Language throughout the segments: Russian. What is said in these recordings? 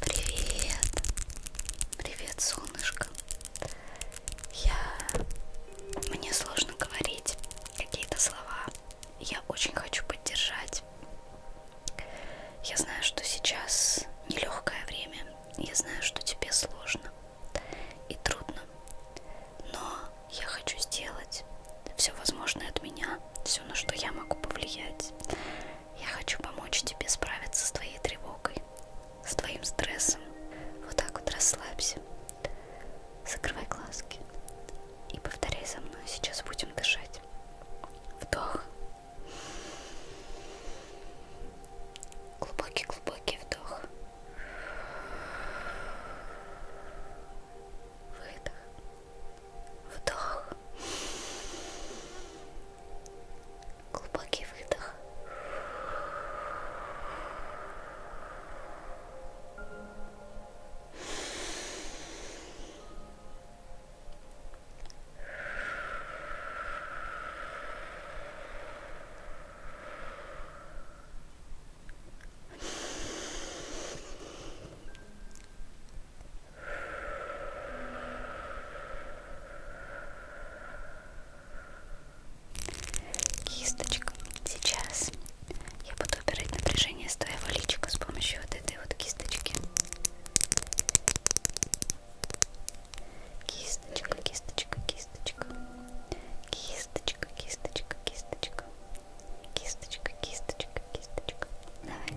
Привет! Привет, солнышко! Я... Мне сложно говорить какие-то слова. Я очень хочу поддержать. Я знаю, что сейчас нелегкое время. Я знаю, что тебе сложно и трудно. Но я хочу сделать все возможное от меня, все, на что я могу повлиять. Я хочу помочь тебе справиться с твоей тревогой, с твоим стрессом. Вот так вот расслабься. Закрывай глазки и повторяй за мной. Сейчас будем дышать. Вдох. Глубокий-глубокий вдох. Выдох. Вдох. Глубокий выдох. Кисточка. Сейчас я буду убирать напряжение с твоего личика с помощью вот этой вот кисточки. Кисточка, кисточка, кисточка. Кисточка, кисточка, кисточка. Кисточка, кисточка, кисточка. Давай.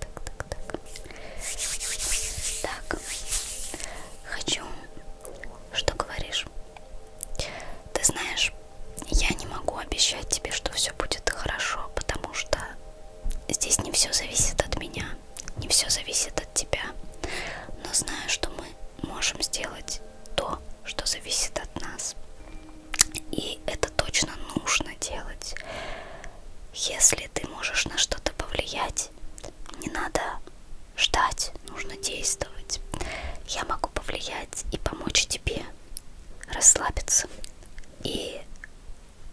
так, так, так. Так, хочу, что говоришь? Ты знаешь, я не могу обещать тебе, что все будет хорошо, потому что здесь не все зависит от меня, не все зависит от тебя. Но знаю, что мы можем сделать то, что зависит от нас. И это точно нужно делать. Если если ты можешь на что-то повлиять, не надо ждать, нужно действовать. Я могу повлиять и помочь тебе расслабиться. И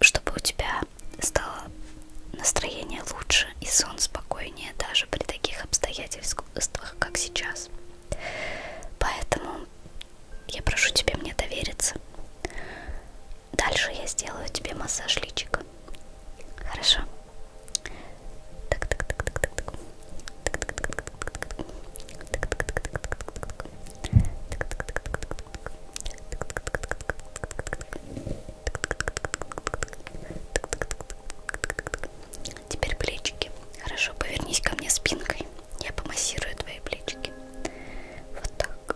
чтобы у тебя стало настроение лучше и сон спокойнее даже при таких обстоятельствах, как сейчас. Поэтому я прошу тебя мне довериться. Дальше я сделаю тебе массаж личика. Хорошо. Так, так, так, так, так, так. Теперь плечики. Хорошо, повернись ко мне спинкой. Я помассирую твои плечики. Вот так.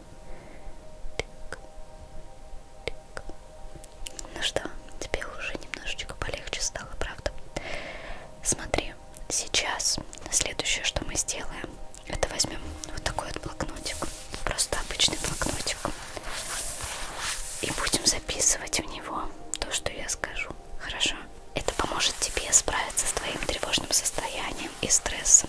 Так. Так. Ну что, тебе уже немножечко полегче стало, правда? Смотри, сейчас следующее, что мы сделаем, это возьмем вот такой вот блокнотик, просто обычный блокнотик, и будем записывать в него то, что я скажу. Хорошо? Это поможет тебе справиться с твоим тревожным состоянием и стрессом.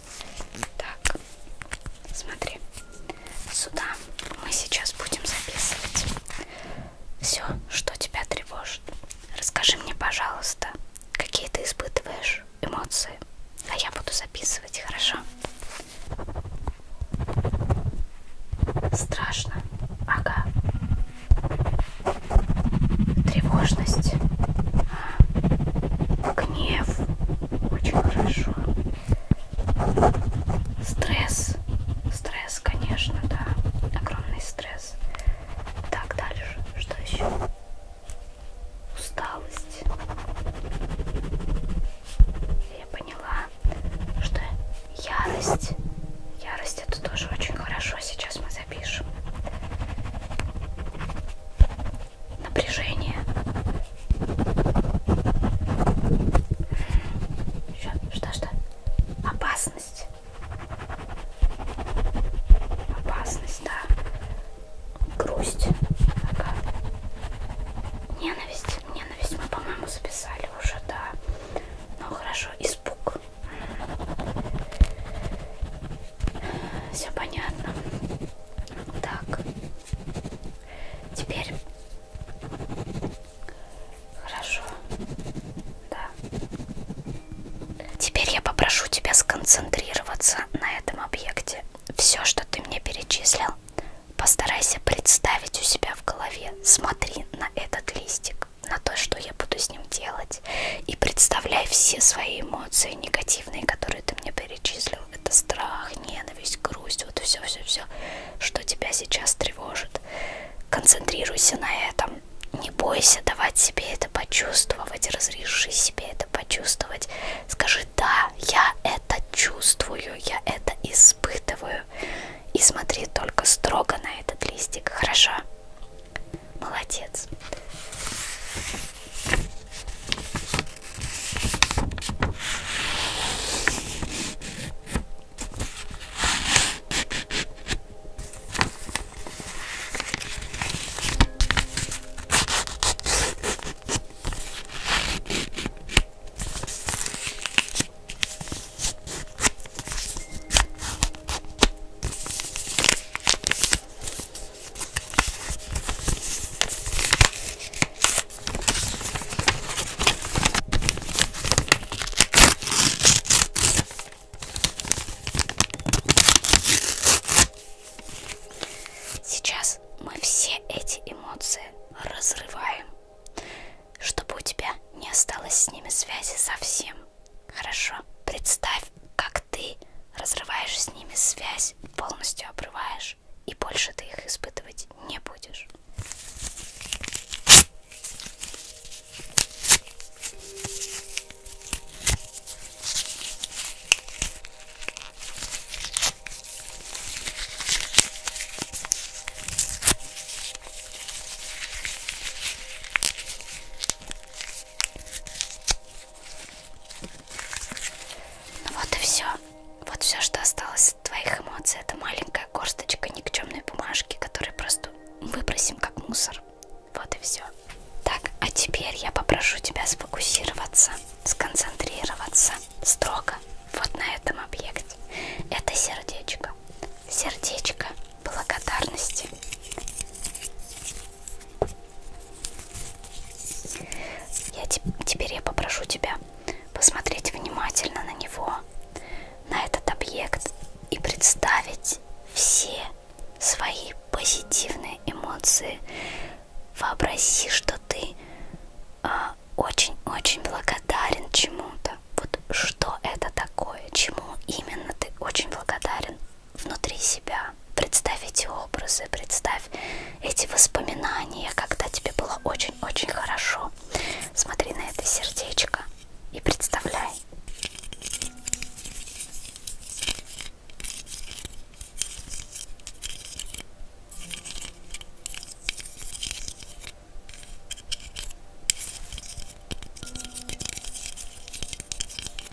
Так, смотри, сюда мы сейчас будем записывать все, что тебя тревожит. Расскажи мне, пожалуйста, какие ты испытываешь эмоции, а я буду записывать, хорошо? Страшно, ага. Тревожность, гнев очень хорошо стресс стресс конечно да огромный стресс так дальше что еще усталость я поняла что ярость ярость это тоже очень хорошо сейчас мы запишем напряжение. Что-что? Опасность. Опасность, да. Грусть. Ага. Ненависть. Ненависть мы, по-моему, записали уже, да. Ну хорошо, испуг. Все понятно. Так. Теперь. Хорошо. Да. Теперь я попрошу тебя сконцентрироваться на этом объекте. Все, что ты мне перечислил, постарайся представить у себя в голове. Смотри на этот листик, на то, что я буду с ним делать. И представляй все свои эмоции, негативные негативные, которые ты мне перечислил, это страх, ненависть, грусть, вот все-все-все, что тебя сейчас тревожит. Концентрируйся на этом. Не бойся давать себе это почувствовать, разреши себе это почувствовать. Скажи, да, я это чувствую, я это испытываю. И смотри только строго на этот листик, хорошо? Молодец. Сейчас мы все эти эмоции разрываем, чтобы у тебя не осталось с ними связи совсем. Хорошо, представь, представь, как ты разрываешь с ними связь, полностью обрываешь, и больше ты их испытывать не будешь. Ну вот и все. Вот все, что осталось от твоих эмоций, это маленькая горсточка никчемной бумажки, которую просто выбросим как мусор. Вот и все. Так, а теперь я попрошу тебя сфокусироваться, сконцентрироваться строго вот на этом объекте. Это сердечко. Сердечко благодарности. Я te теперь я попрошу тебя посмотреть внимательно на него, на этот объект и представить все свои позитивные эмоции. Вообрази, что ты а, очень-очень э, благодарен чему-то. Вот что это такое, чему именно ты очень благодарен внутри себя. Представь эти образы, представь эти воспоминания, когда тебе было очень-очень хорошо. Смотри на это сердечко и представляй.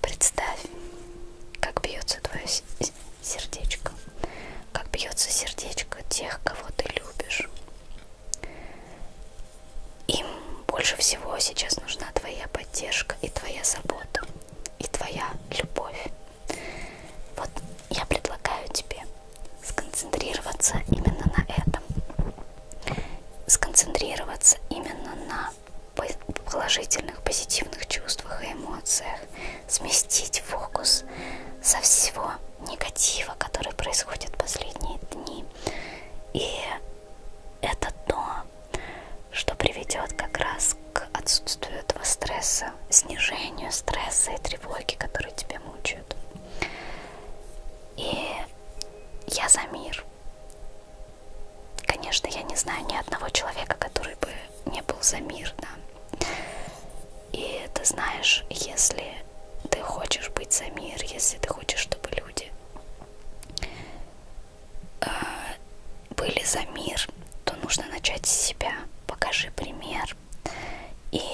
Представь, как бьется твое сердечко. Как бьется сердечко тех, кого ты любишь. Им больше всего сейчас нужна твоя поддержка и твоя забота, и твоя любовь. Вот я предлагаю тебе сконцентрироваться именно на этом. Сконцентрироваться именно на положительных, позитивных чувствах и эмоциях, сместить фокус со всего негатива, который происходит последние дни. И это то, что приведет как раз к отсутствию этого стресса, снижению стресса и тревоги, которые тебя мучают. И я за мир. Конечно, я не знаю ни одного человека, который бы не был за мир, да. И ты знаешь, если ты хочешь быть за мир, если ты хочешь, чтобы люди э, были за мир, то нужно начать с себя. Покажи пример и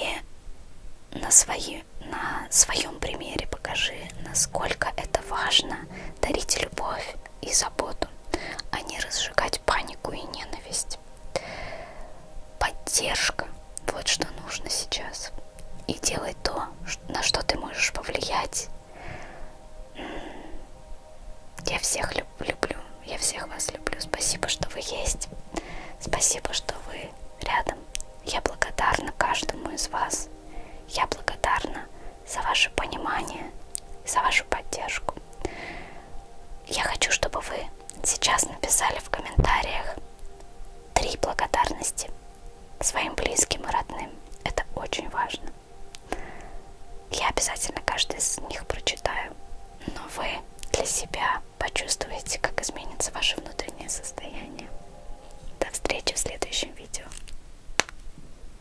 на, свои, на своем примере покажи, насколько это важно дарить любовь и заботу народу, а не разжигать панику и ненависть. Поддержка – вот что нужно сейчас. И делай то, на что ты можешь повлиять. Я всех люблю, я всех вас люблю. Спасибо, что вы есть. Спасибо, что вы рядом. Я благодарна каждому из вас. Я благодарна за ваше понимание, за вашу поддержку. Я хочу, чтобы вы сейчас написали в комментариях три благодарности своим близким и родным. Это очень важно. Я обязательно каждый из них прочитаю, но вы для себя почувствуете, как изменится ваше внутреннее состояние. До встречи в следующем видео.